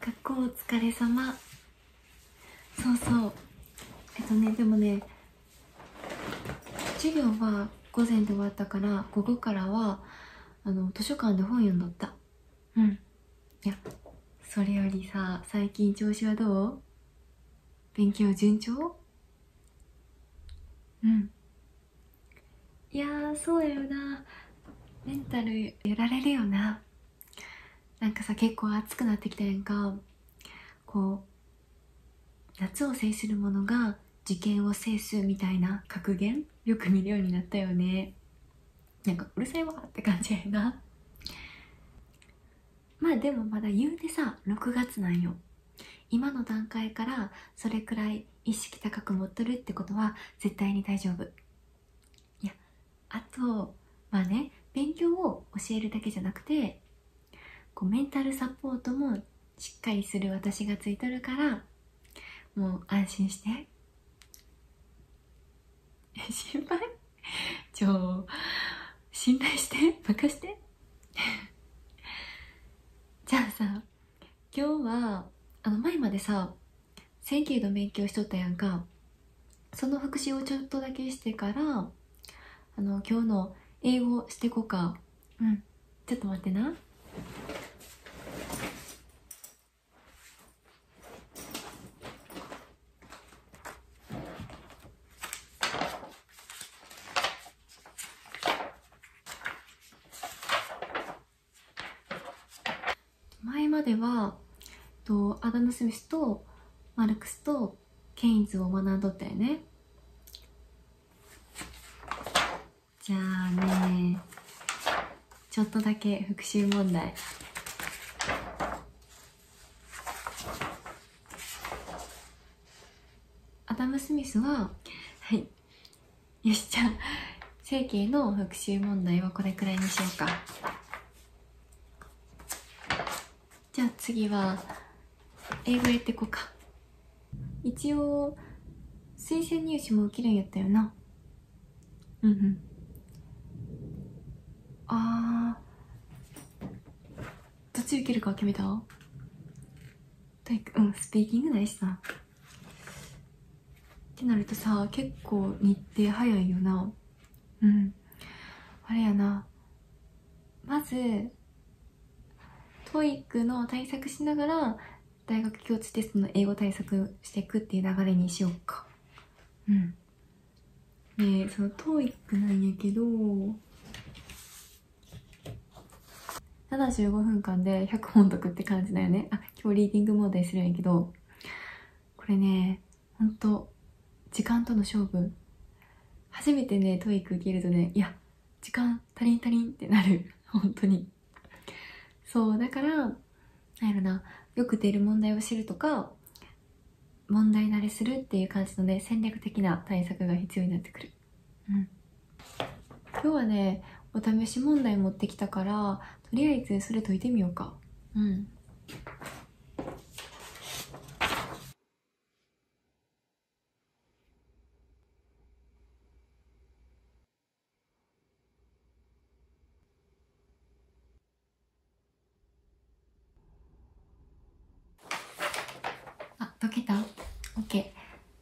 学校お疲れ様そうそうえっとねでもね授業は午前で終わったから午後からはあの図書館で本読んどったうんいやそれよりさ最近調子はどう勉強順調うんいやーそうやよなメンタルやられるよななんかさ結構暑くなってきたやんかこう夏を制する者が受験を制すみたいな格言よく見るようになったよねなんかうるさいわって感じやなまあでもまだ言うてさ6月なんよ今の段階からそれくらい意識高く持っとるってことは絶対に大丈夫いやあとまあね勉強を教えるだけじゃなくてこうメンタルサポートもしっかりする私がついとるからもう安心して 心配ちょ信頼して任して じゃあさ今日はあの前までさ1整形の勉強しとったやんかその復習をちょっとだけしてからあの今日の英語してこかうんちょっと待ってな前まではとアダム・スミスとマルクスとケインズを学んどったよねじゃあねちょっとだけ復習問題アダム・スミスははいよしじゃあ整形の復習問題はこれくらいにしようかじゃあ次は英語やってこうか一応推薦入試も受けるんやったよなうんうんああどっち受けるか決めた体育うんスピーキングないしさってなるとさ結構日程早いよなうんあれやなまず TOEIC の対策しながら大学共通テストの英語対策していくっていう流れにしようかうんでその TOEIC なんやけど75分間で100本解くって感じだよね。あ、今日リーディング問題するんやけど、これね、ほんと、時間との勝負。初めてね、トイック受けるとね、いや、時間足りん足りんってなる。本当に。そう、だから、なんやろな、よく出る問題を知るとか、問題慣れするっていう感じのね、戦略的な対策が必要になってくる。うん、今日はねお試し問題持ってきたからとりあえずそれ解いてみようかうんあ、解けた ?OK。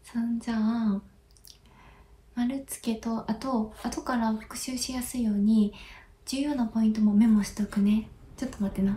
さんじゃあ丸つけとあと後から復習しやすいように重要なポイントもメモしとくねちょっと待ってな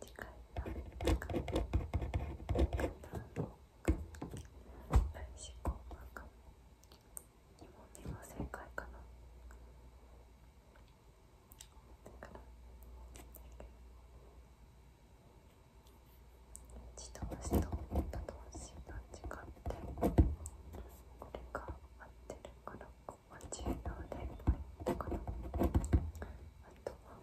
次回は来週後半か2問目は正解かなだから自動詞と他動詞が違ってこれが合ってるからここは10秒で終わったかなあとは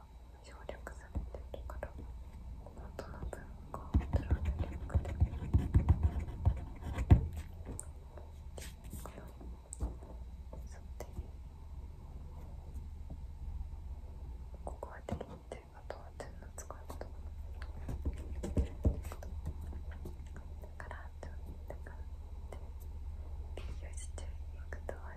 が省略されているから元の文化を取られるくてこのさてここはできてあとは点の使い方だからとだからって理由していくとは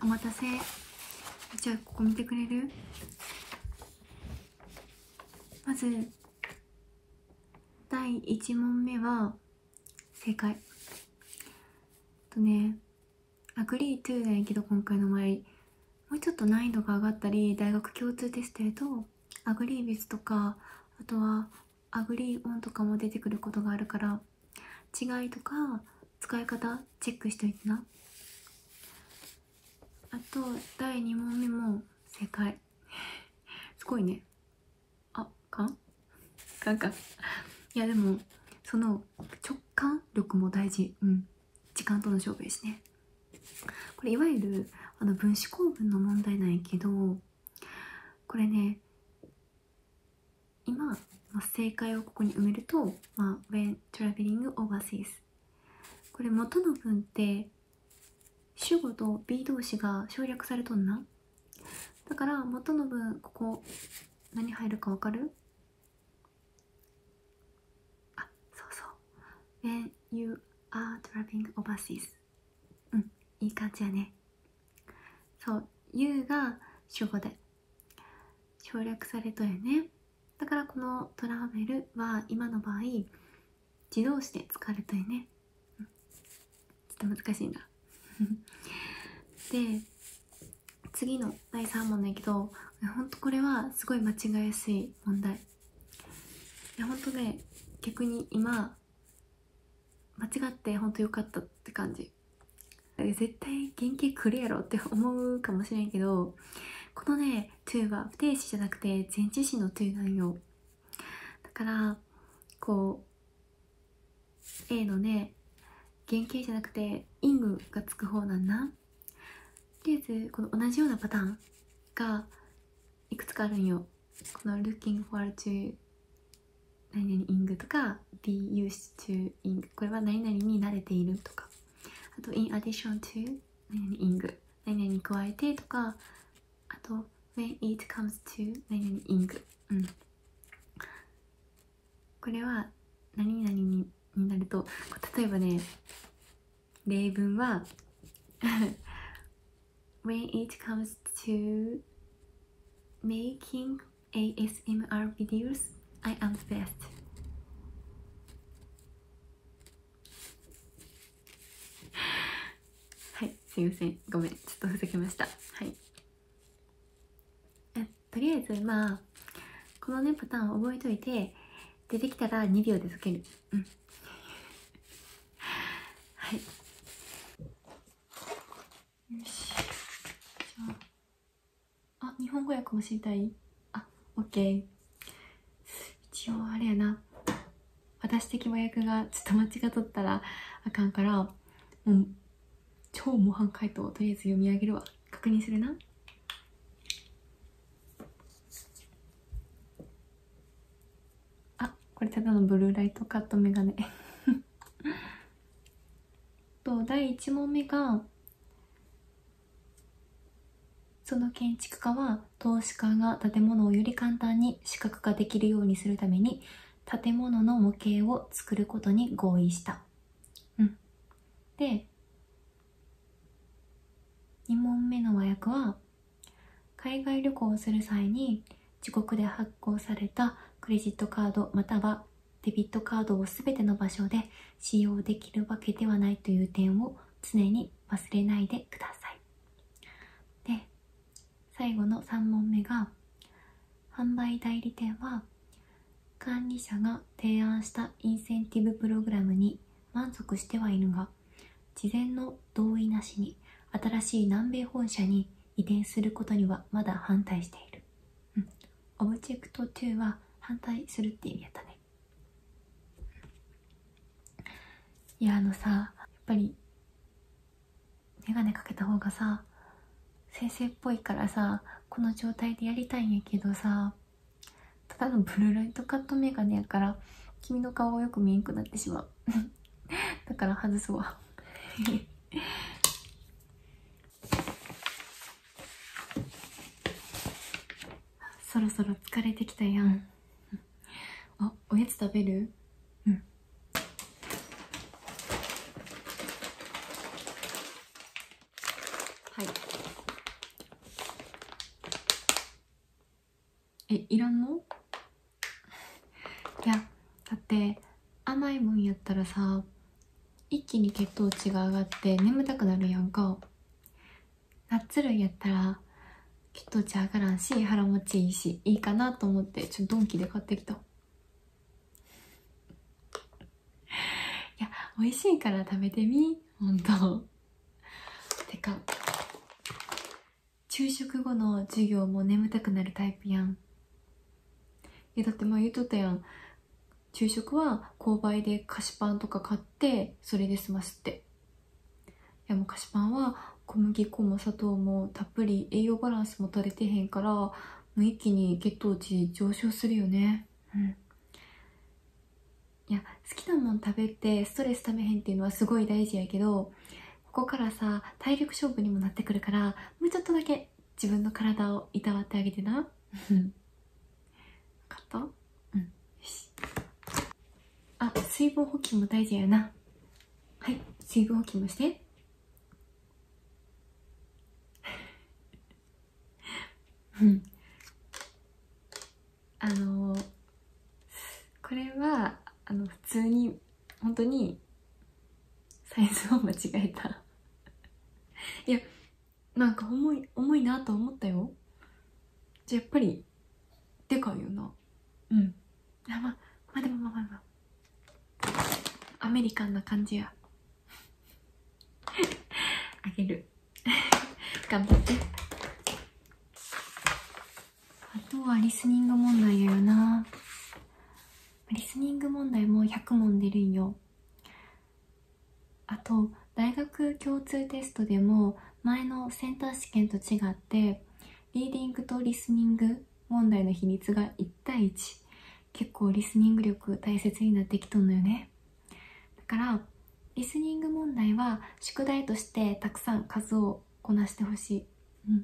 お待たせじゃあここ見てくれるまず第1問目は正解とね「Agree to」だけど今回の場合もうちょっと難易度が上がったり大学共通テストやと「Agree with」とかあとは「Agree on」とかも出てくることがあるから違いとか使い方チェックしといてなあと第2問目も正解 すごいねあかんかんかいやでもその直感力も大事うん時間との勝負ですねこれいわゆるあの分子構文の問題なんやけどこれね今、正解をここに埋めると、まあ、when traveling o v e これ元の文って主語と B 動詞が省略されとんなだから元の文ここ何入るか分かるあそうそう When you are traveling overseas うんいい感じやねそう「U」が主語で省略されたよねだからこの「トラベル」は今の場合自動詞で使われたよね、ちょっと難しいんだ。で次の第3問だけどほんとこれはすごい間違いやすい問題いやほんとね逆に今間違ってほんと良かったって感じし絶対原型くるやろって思うかもしれんけどこのね to は不定詞じゃなくて前置詞の to なんよだからこう A のね原型じゃなくてイングがつく方なんだとりあえずこの同じようなパターンがいくつかあるんよこの「looking for to 何々イングとか be used to イングこれは何々に慣れているとかあと in addition to 何々イング何々に加えてとかあと when it comes to 何々イングうんこれは何々にになると例えばね例文は when it comes to making ASMR v i d e s I am the best. はい、すいません。ごめん。ちょっとふざけました。はい。えとりあえず、まあ、このね、パターンを覚えといて、出てきたら2秒で解ける。うん。はい。よしじゃああ、日本語訳も知りたいあオッケー一応あれやな私的麻薬がちょっと間違っとったらあかんからもう超模範解答とりあえず読み上げるわ確認するなあこれただのブルーライトカットメガネ と第1問目がその建築家は投資家が建物をより簡単に視覚化できるようにするために建物の模型を作ることに合意した。で2問目の和訳は海外旅行をする際に自国で発発行されたクレジットカードまたはデビットカードを全ての場所で使用できるわけではないという点を常に忘れないでください。で最後の3問目が販売代理店は管理者が提案したインセンティブプログラムに満足してはいるが事前の同意なしに新しい南米本社に移転することにはまだ反対している。オブジェクト2は反対するって意味やったね。いや、あのさ、やっぱり、眼鏡かけた方がさ、先生っぽいからさ、この状態でやりたいんやけどさ、ただのブルーライトカット眼鏡やから、君の顔をよく見えんくなってしまう。だから外すわ そろそろ疲れてきたやんあおやつ食べるうんはいえいらんの いやだって甘いもんやったらさ一気に血糖値が上がって眠たくなるやんかナッツ類やったら血糖値上がらんし腹持ちいいしいいかなと思ってちょっとドンキで買ってきたいや美味しいから食べてみほんとてか昼食後の授業も眠たくなるタイプやんいやだって前言うとったやん昼食は購買で菓子パンとか買ってそれで済ますっていやもう菓子パンは小麦粉も砂糖もたっぷり栄養バランスも取れてへんからもう一気に血糖値上昇するよねうんいや好きなもん食べてストレスためへんっていうのはすごい大事やけどここからさ体力勝負にもなってくるからもうちょっとだけ自分の体をいたわってあげてな分 かったうんよしあ水分補給も大事やなはい水分補給もしてうん あのこれはあの普通に本当にサイズを間違えたいやなんか重い重いなと思ったよじゃあやっぱりでかいよなうんあまあまあでもまあまあまあアメリカンな感じやあげる頑張ってあとはリスニング問題やよなリスニング問題も100問出るんよあと大学共通テストでも前のセンター試験と違ってリーディングとリスニング問題の比率が1対1結構リスニング力大切になってきとんのよねだからリスニング問題は宿題としてたくさん数をこなしてほしい。うん、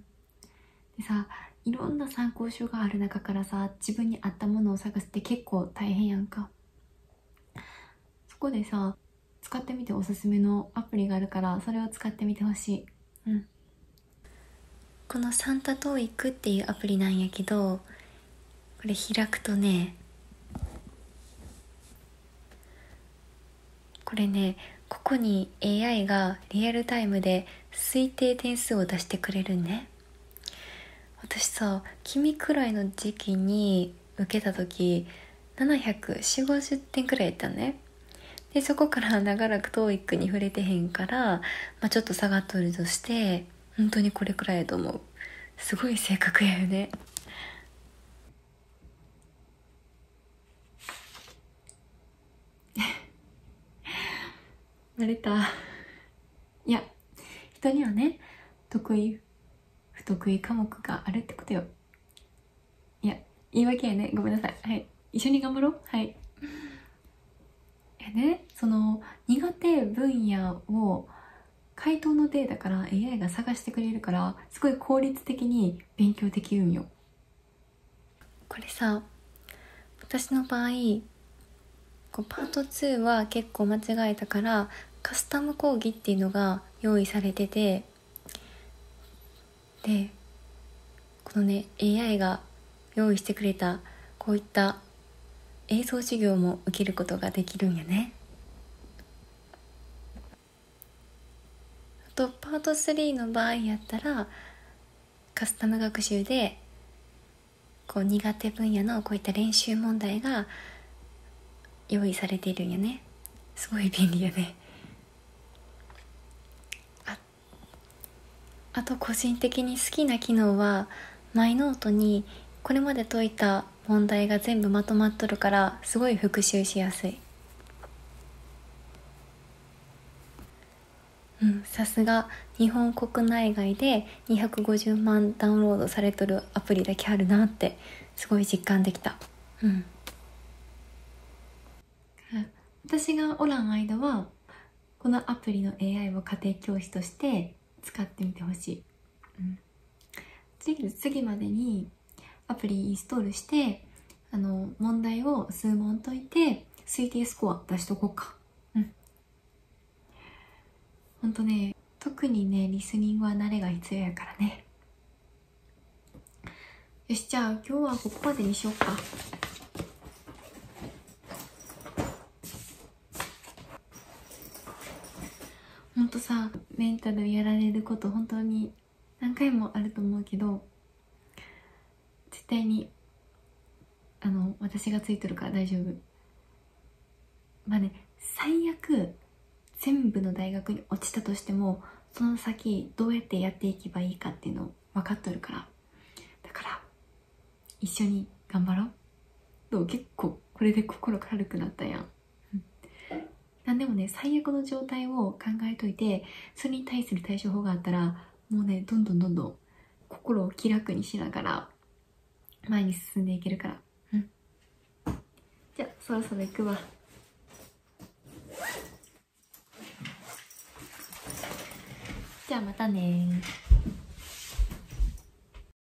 でさいろんな参考書がある中からさ自分に合ったものを探すって結構大変やんか。そこでさ使ってみておすすめのアプリがあるからそれを使ってみてほしい。うんこのサンタトーイクっていうアプリなんやけどこれ開くとねこれねここに AI がリアルタイムで推定点数を出してくれるね私さ君くらいの時期に受けた時74050点くらいやったねでそこから長らく TOEIC に触れてへんから、まちょっと下がっとるとして本当にこれくらいやと思うすごい性格やよね 慣れたいや人にはね得意不得意科目があるってことよいや言い訳やねごめんなさいはい一緒に頑張ろうはいえねその苦手分野を回答のデータから AI が探してくれるからすごい効率的に勉強できるんよこれさ私の場合こうパート2は結構間違えたからカスタム講義っていうのが用意されててでこのね AI が用意してくれたこういった映像授業も受けることができるんやね。あとパート3の場合やったらカスタム学習でこう苦手分野のこういった練習問題が用意されているんやねすごい便利やねああと個人的に好きな機能はマイノートにこれまで解いたは問題が全部まとまっとるからすごい復習しやすいうんさすが日本国内外で250万ダウンロードされとるアプリだけあるなってすごい実感できたうん私がおらん間はこのアプリの AI を家庭教師として使ってみてほしい、うん次次までにアプリインストールしてあの問題を数問解いて推定スコア出しとこうかうんほんとね特にねリスニングは慣れが必要やからねよしじゃあ今日はここまでにしようかほんとさメンタルやられること本当に何回もあると思うけど絶対にあの私がついてるから大丈夫まあね最悪全部の大学に落ちたとしてもその先どうやってやっていけばいいかっていうの分かっとるからだから一緒に頑張ろうどう結構これで心軽くなったやん何でもね最悪の状態を考えといてそれに対する対処法があったらもうねどんどんどんどん心を気楽にしながら前に進んでいけるから、うん、じゃあそろそろ行くわじゃあまたね